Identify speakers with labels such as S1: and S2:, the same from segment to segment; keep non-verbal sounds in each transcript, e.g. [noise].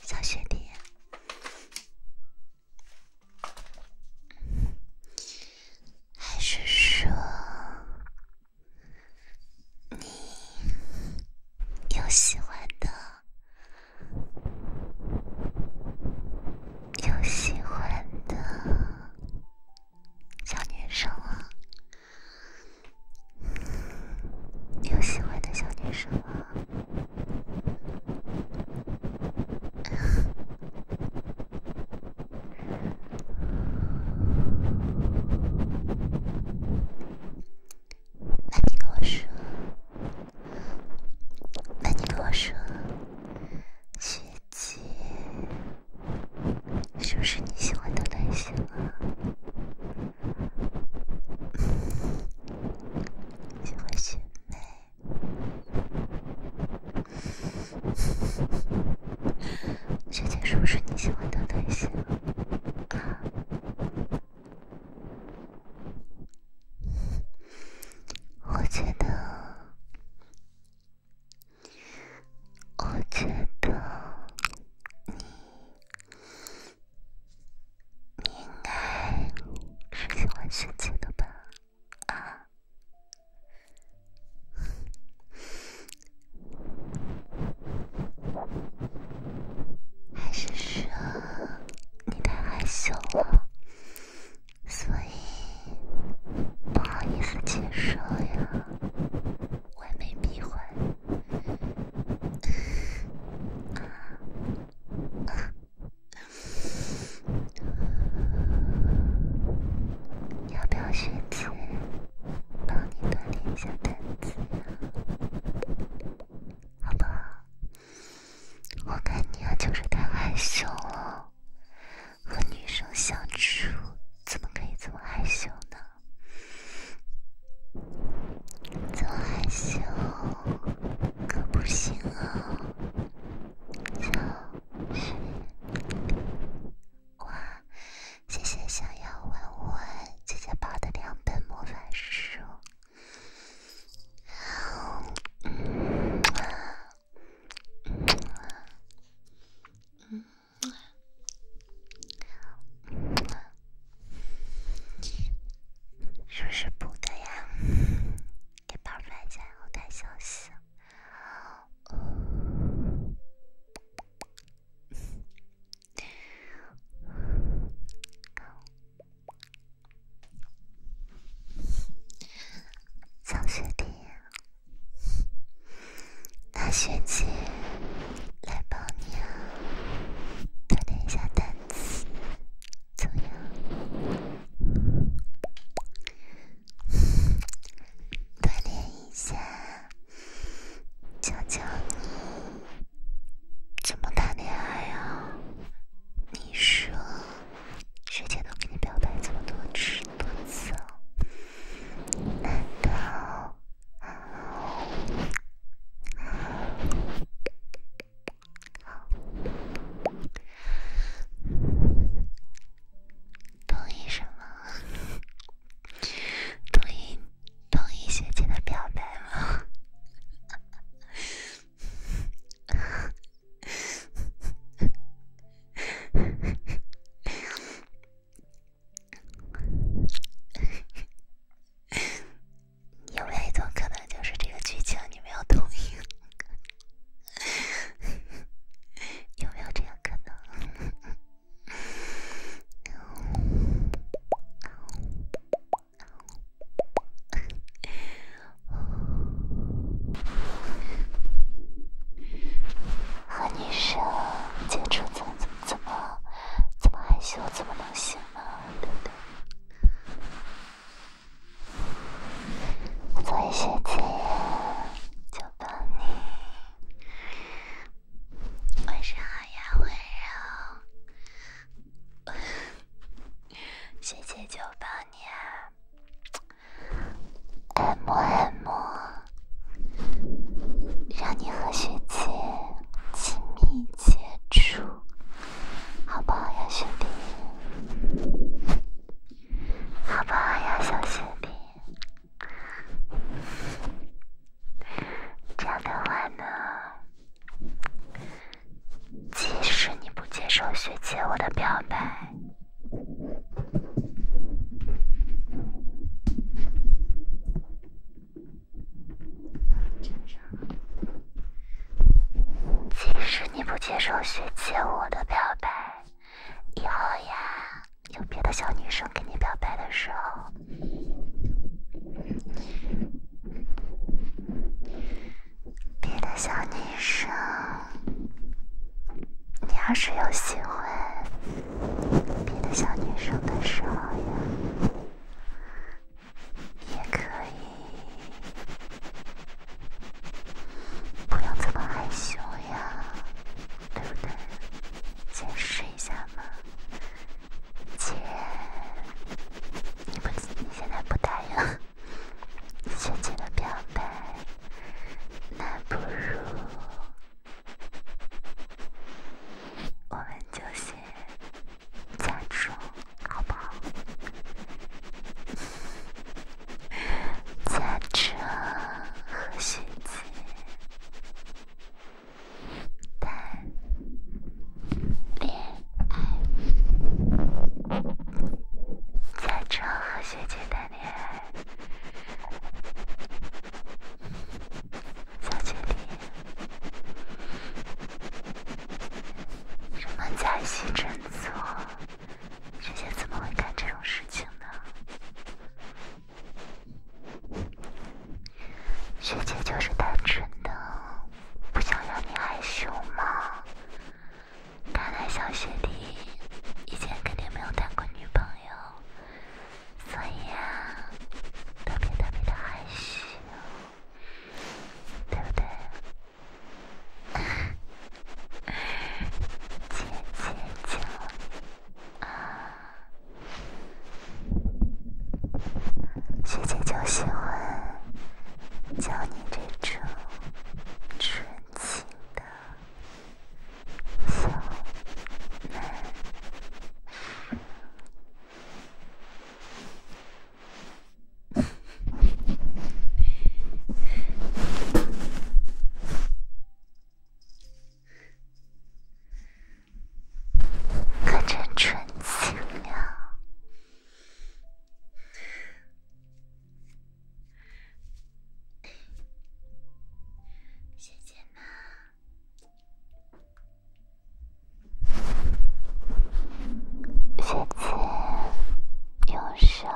S1: 小雪弟，还是说你有喜欢的、有喜欢的小女生啊？你有喜欢的小女生吗？[laughs] 那你跟我说，那你跟我说，姐姐，是不是你喜欢的类型啊？喜欢学妹？学姐是不是你喜欢的对象？我觉得，我觉你应该是喜欢自己的吧？啊，还是说你太害羞了，所以不好意思接受呀？完美闭环。啊。你要不要学姐帮你锻炼一下胆子？呀？好不好？我看你啊，就是太害羞了。和女生相处，怎么可以这么害羞呢？怎么害羞？可不行啊！哇，谢谢想要问问姐姐抱的两 [laughs] 小学弟，大学姐，来帮你啊！点一下单。昨天锻炼一下，教教你怎么谈恋爱呀？你说，学姐都跟你表白这么多次多次了，难道？同意什么？[laughs] 同意同意学姐的表白吗？[laughs] 有没有一种可能，就是这个剧情你没有同意？[laughs] 有没有这样可能？和 [laughs] 女生接触怎么怎么怎么怎么害羞，怎么能行呢？对不对？学姐，就帮你。晚上好呀，温柔，学姐就帮你按摩按摩，让你和学姐亲密接触。好不好呀，兄弟？好不好呀，小兄弟？这样的话呢，即使你不接受学姐我的表白。即使你不接受学姐我的表白，以后呀，有别的小女生跟你表白的时候，别的小女生，你要是有喜欢别的小女生的时候呀。也可以，不要这么害羞呀。对不对？先试一下嘛，姐。你不，你现在不答应，先进了表白，那不如我们就先。假装，好不好？假装和学姐谈恋爱。假装和学姐谈恋爱，在这里。什么假戏真做？学姐怎么会干这种事情呢？学姐就是单纯的不想让你害羞嘛。看来小学弟以前肯定没有谈过女朋友，所以特别特别的害羞。对不对？姐姐就啊，学姐就喜欢就你这种纯情的小男。可真纯净呀，姐姐呢？下次，用手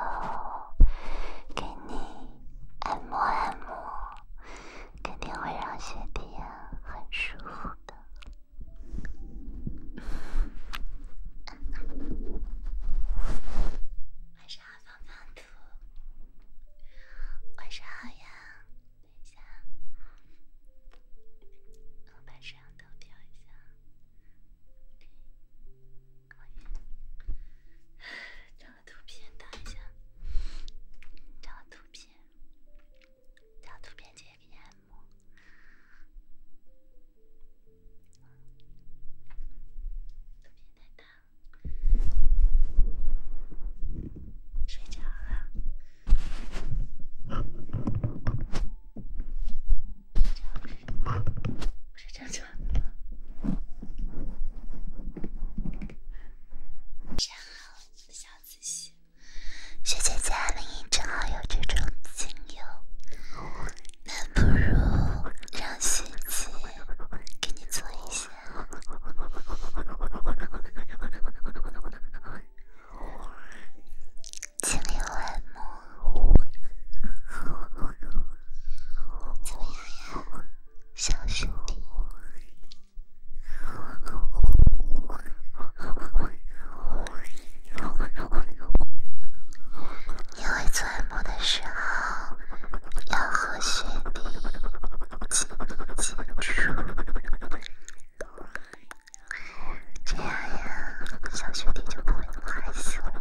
S1: 给你按摩按摩，肯定会让身体很舒服的。晚上好，胖胖兔。晚上好呀，下午好。晚上。找图片等一下，找图片，找图片，接给按摩。图片太大，睡着了。不是这样，的正好，小仔细，学姐家里正好有这种精油，那不如让学姐给你做一下。清理完我，怎么样呀，小兄弟？因为钻木的时候要和雪地紧紧接触。这样呀，小学弟就不会那么害羞了。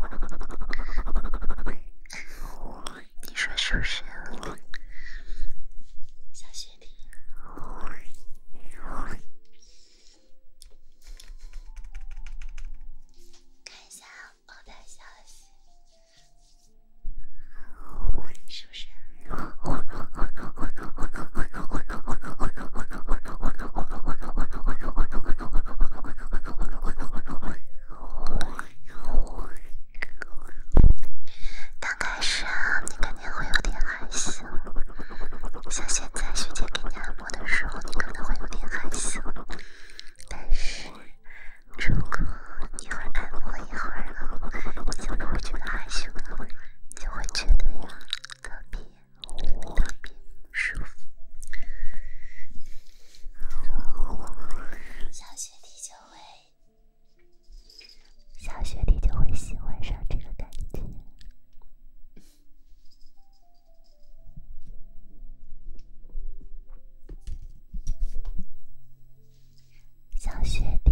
S1: 你说是不是，小学弟？看一下我的消息，是不是？刚开始啊，你肯定会有点害羞。像现在徐姐给你按摩的时候，你可能会有点害羞。但是如果你会按摩一会儿了，就会觉得害羞了，就会觉得呀，特别。特别舒服，小学弟就会，小学弟就会喜欢上这个感觉，小学弟。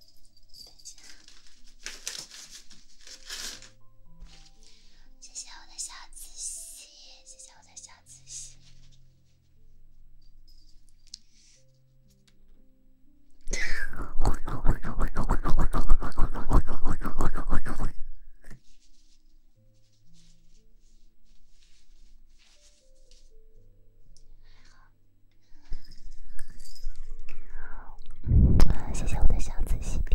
S1: 谢谢我的小仔细，谢谢我的小好，谢谢我的小紫心 bb。